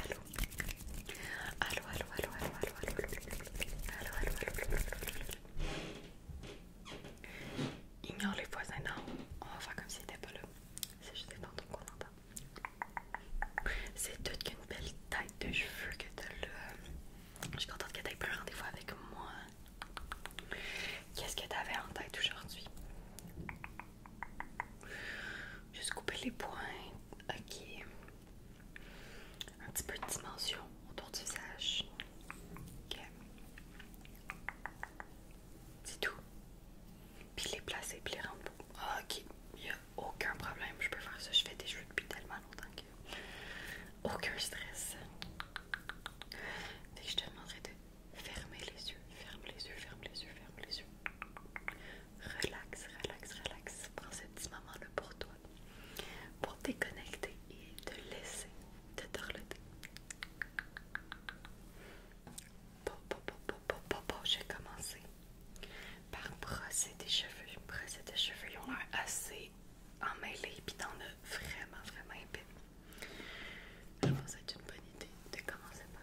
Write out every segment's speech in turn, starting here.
Allô Allô, allô, allô, allô, allô, allô, allô, allô, Ignore les voisins, non, on va faire comme si c'était pas là. C'est juste dans ton qu'on entend. C'est toute qu'une belle tête de cheveux que t'as là. Je suis contente que t'aies pris rendez-vous avec moi. Qu'est-ce que tu avais en tête aujourd'hui? Juste couper les pointes. Ok. Un petit peu de dimension autour du visage. Ok. C'est tout. Puis les placer, puis les rendre ah, Ok. Il n'y a aucun problème. Je peux faire ça. Je fais des jeux depuis tellement longtemps que. Aucun stress. Et je te demanderai de Fermez les yeux, ferme les yeux, ferme les yeux, ferme les yeux. Relax, relax, relax. Prends ce petit moment-là pour toi, pour déconnecter et te laisser te dorloter. j'ai commencé par brosser tes cheveux. Brosser tes cheveux, ils ont l'air assez emmêlés, puis t'en as vraiment, vraiment épais. Je pense que une bonne idée de commencer par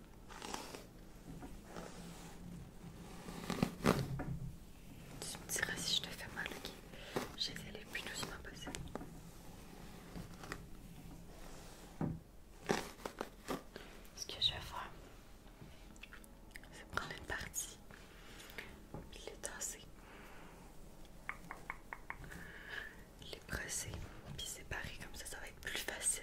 Tu me diras si je te fais mal, ok? J'ai vais aller plus doucement possible. Ce que je vais faire, c'est prendre une partie puis les tasser, les presser, puis séparer comme ça, ça va être plus facile.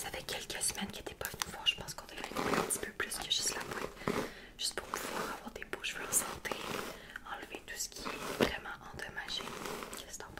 ça fait quelques semaines qu'il n'était pas venu fort, Je pense qu'on devrait aller un petit peu plus que juste la pointe. Juste pour pouvoir avoir des beaux cheveux en santé, enlever tout ce qui est vraiment endommagé.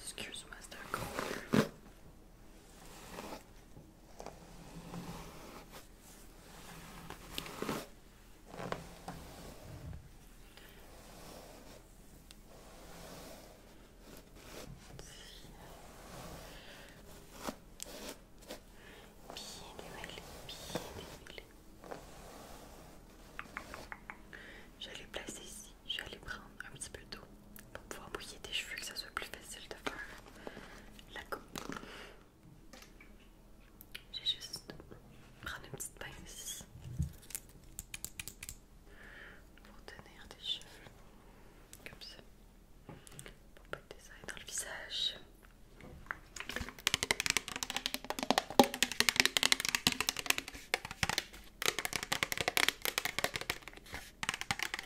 Excuse me, is that cold? Je vais les placer ici. Je vais prendre un petit peu d'eau pour pouvoir mouiller tes cheveux, que ça soit plus facile de faire la coupe. J'ai juste prendre une petite pince pour tenir tes cheveux comme ça, pour pas que dans le visage.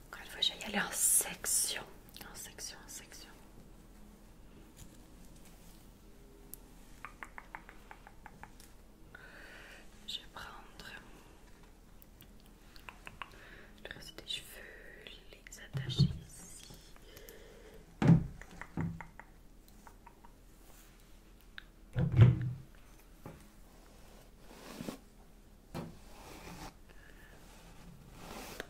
Encore une fois, je vais y aller en section, en section, en section. Je vais prendre le reste des cheveux, les attacher ici.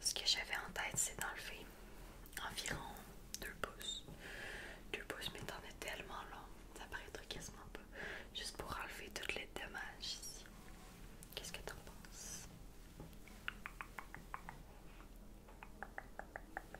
Ce que j'avais en tête, c'est d'enlever environ 2 pouces. 2 pouces, mais t'en es tellement long, ça paraît quasiment pas. Juste pour enlever toutes les dommages ici. Qu'est-ce que t'en penses?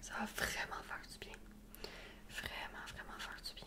Ça va vraiment faire du bien. Vraiment, vraiment faire du bien.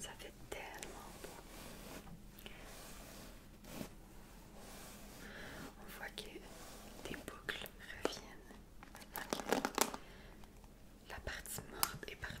ça fait tellement beau. On voit que des boucles reviennent. La partie morte est partie.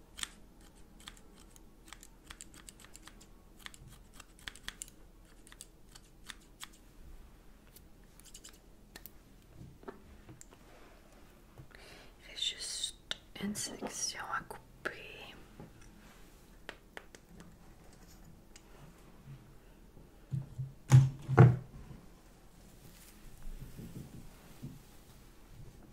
juste une section à couper.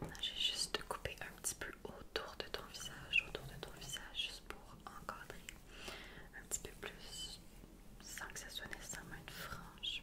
Maintenant, j'ai juste coupé un petit peu autour de ton visage, autour de ton visage, juste pour encadrer un petit peu plus sans que ce soit nécessairement une frange.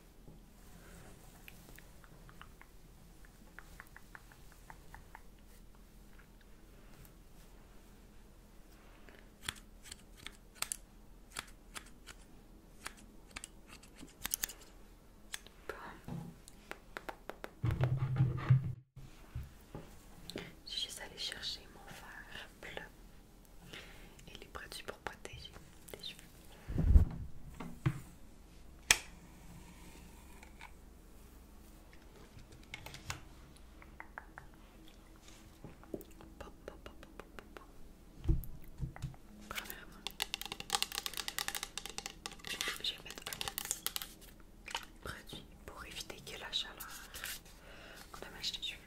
Je suis juste allée chercher mon fer. bleu et les du pour pour protéger les cheveux. Premièrement, je vais mettre un petit produit pour éviter que la chaleur ne mâche les cheveux.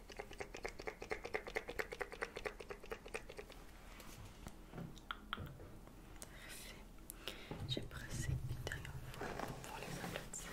Parfait. J'ai pressé une dernière fois pour les aplatir.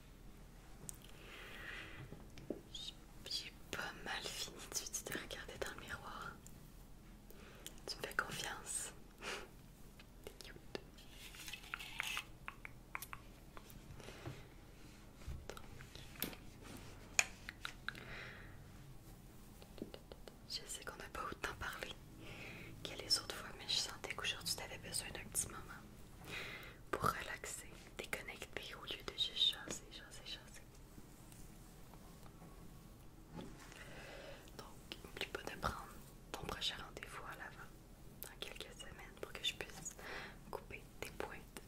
J'ai pas mal fini de te regarder dans le miroir. Tu me fais confiance. T'es cute. Je sais qu'on n'a pas autant parlé que les autres fois, mais je sentais qu'aujourd'hui tu avais besoin d'un petit moment pour relaxer déconnecter au lieu de juste chasser, chasser, chasser. Donc, n'oublie pas de prendre ton prochain rendez-vous à l'avant dans quelques semaines pour que je puisse couper tes pointes.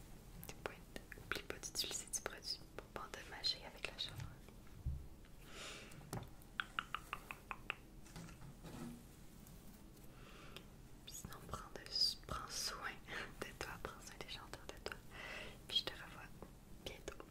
Tes pointes. N'oublie pas d'utiliser du produit pour pas endommager avec la chaleur. Sinon, prends, prends soin de toi, prends soin des chanteurs de toi. Puis je te revois bientôt.